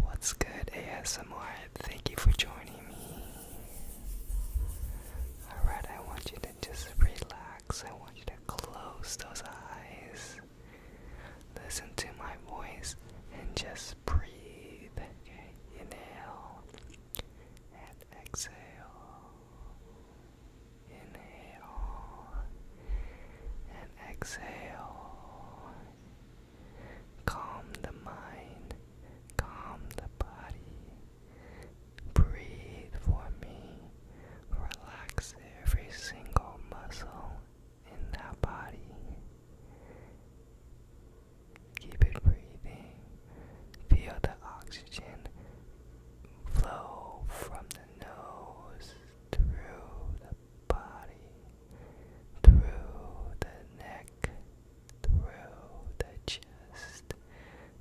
What's good, ASMR? Thank you for joining me. Alright, I want you to just relax. I want you to close those eyes. Listen to my voice and just breathe. Okay, inhale and exhale. Inhale exhale. Calm the mind, calm the body. Breathe for me. Relax every single muscle in that body. Keep it breathing. Feel the oxygen flow from the nose through the body, through the neck, through the chest,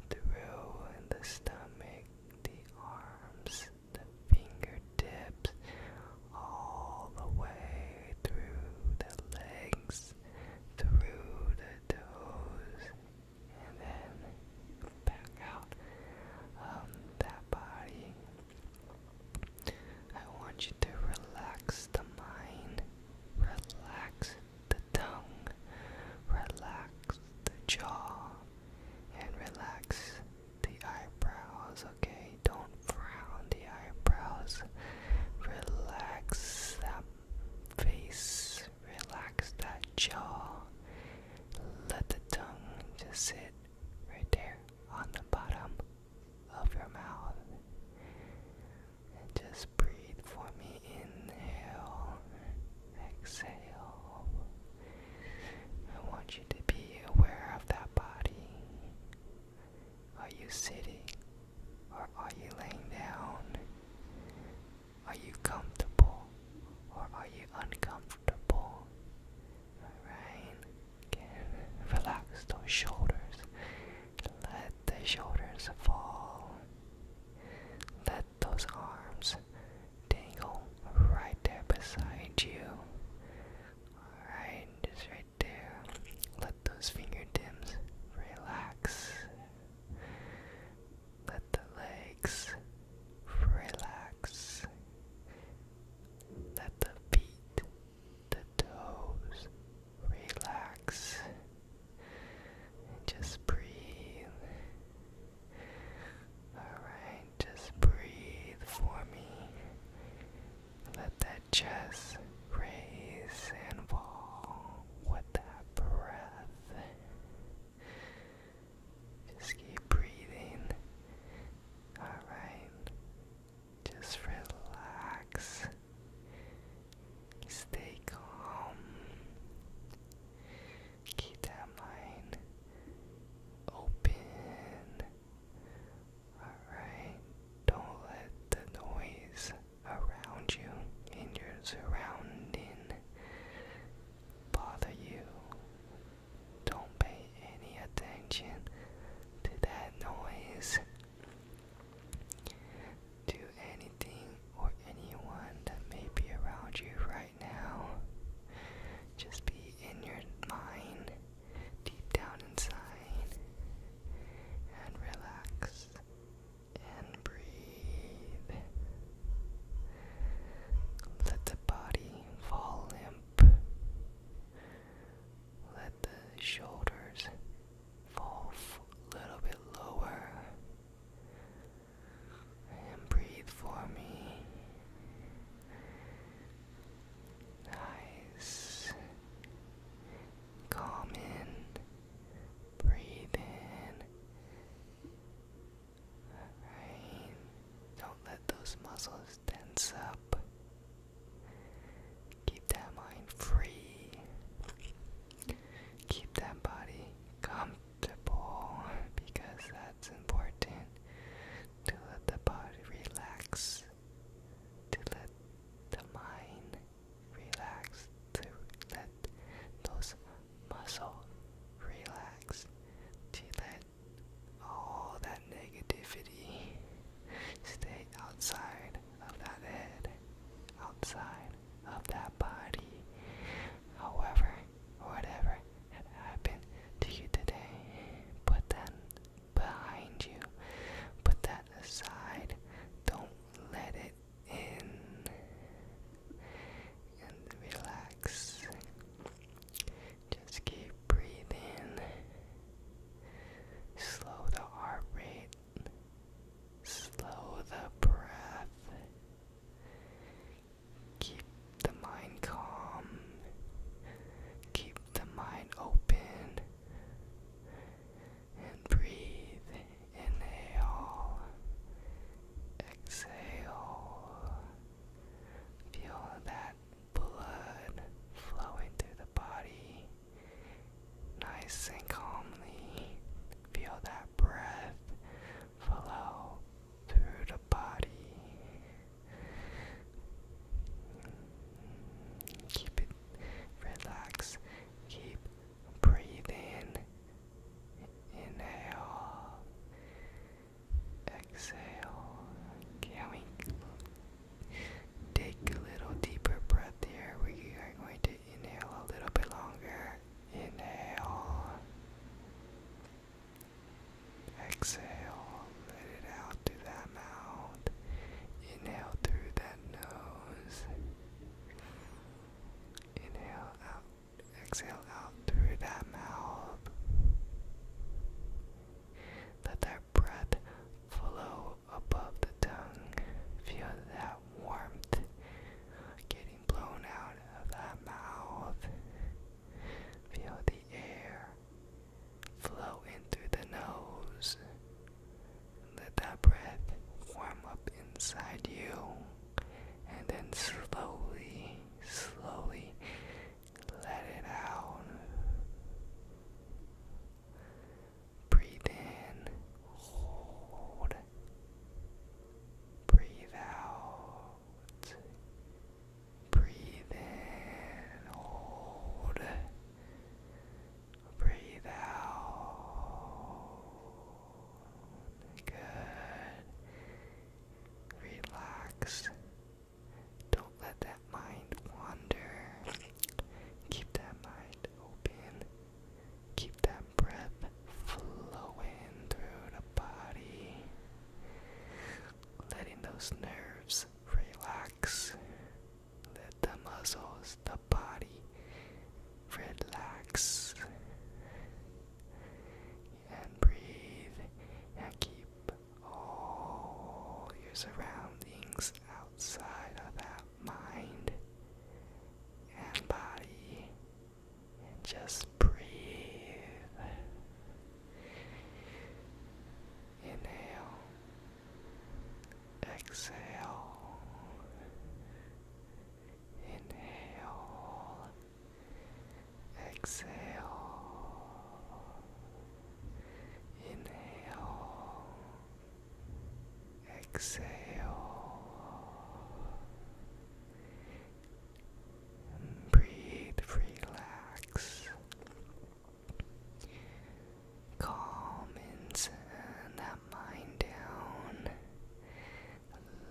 through the stomach, the arms, the fingertips, all the way through the legs, through the toes, and then back out. Um, that body I want you to relax the mind, relax the tongue, relax the jaw, and relax the eyebrows, okay? Don't frown the eyebrows. Relax that face, relax that jaw. Let the tongue just sit right there on the bottom of your mouth. just breathe for me. Inhale, exhale. I want you to be aware of that body. Are you sitting or are you laying down? Are you comfortable or are you uncomfortable? Alright, okay. relax those shoulders. Let the shoulders fall. Let those arms dangle right there beside you. Alright, just right there. Let those fingertips relax. Let the legs relax. Let the feet, the toes relax. just breathe. Alright, just breathe for me. Let that chest raise and fall with that breath. Just keep breathing. Alright. Just relax. Stay calm. Keep that mind open. Alright. Don't let the noise around you and your surroundings bother you don't pay any attention to that noise, to anything or anyone that may be around you right now. Just be in your mind, deep down inside, and relax and breathe. Let the body fall limp. Let the shoulders fall a little bit lower. And breathe for me. Nice. Calm in. Breathe in. Right. Don't let those muscles tense up. Keep that mind free. Keep that body comfortable because that's important to let the body relax, to let the mind relax, to let those muscle relax to let all that negativity stay outside of that head, outside of that body. However, whatever had happened to you today, put that behind you, put that aside, don't let it in and relax. Just keep breathing. Slow the heart rate. Slow the breath. Keep the mind calm. Keep the mind open. And breathe. Inhale. Exhale. Feel that blood flowing through the body nice and calmly. Feel that breath flow through the body. Keep it relaxed. Keep breathing Inhale, exhale. Can we take a little deeper breath here? We are going to inhale a little bit longer. Inhale, exhale. Let it out through that mouth. Inhale through that nose. Inhale out Exhale out through that mouth. Let that breath flow above the tongue. Feel that warmth getting blown out of that mouth. Feel the air flow in through the nose. Let that breath warm up inside you and then slowly, slowly let it out. Breathe in, hold, breathe out, breathe in, hold, breathe out. Good. Relax. Don't let that mind wander. Keep that mind open. Keep that breath flowing through the body. Letting those nerves relax. Let the muscles, the body relax and breathe and keep all your surroundings outside of that mind and body just breathe. Inhale, exhale, inhale, Exhale. Inhale. Exhale. breathe, relax. Calm and send uh, that mind down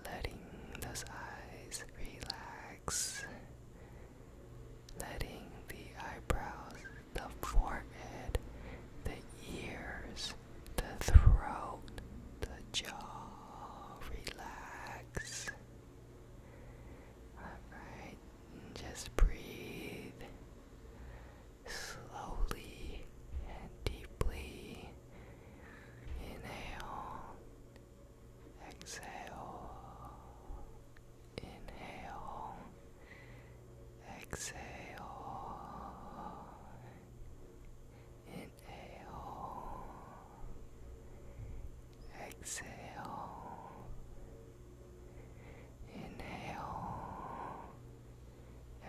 letting those eyes relax, letting the eyebrows, the forehead, the ears, the throat, the jaw relax. Alright, just breathe slowly and deeply. Inhale. Exhale. Inhale. Exhale. Inhale. Exhale. Inhale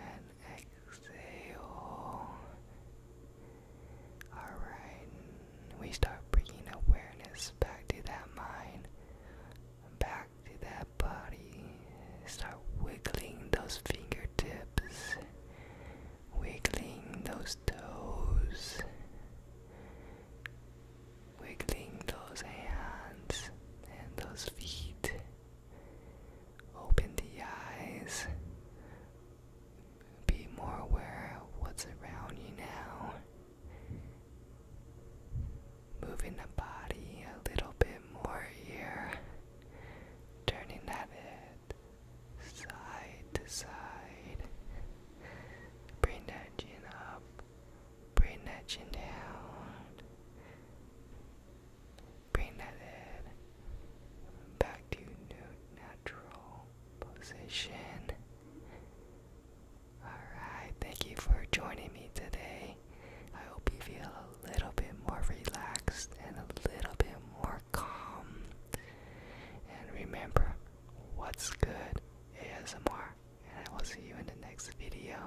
and exhale. Alright, we start bringing awareness back to that mind, back to that body. Start wiggling those fingertips, wiggling those toes, wiggling those hands and those feet. Open the eyes. Be more aware of what's around you now. Moving the body a little bit more here. Turning that head side to side. Bring that chin up. Bring that chin down pre-netted back to new natural position. Alright, thank you for joining me today. I hope you feel a little bit more relaxed and a little bit more calm. And remember, what's good is more. and I will see you in the next video.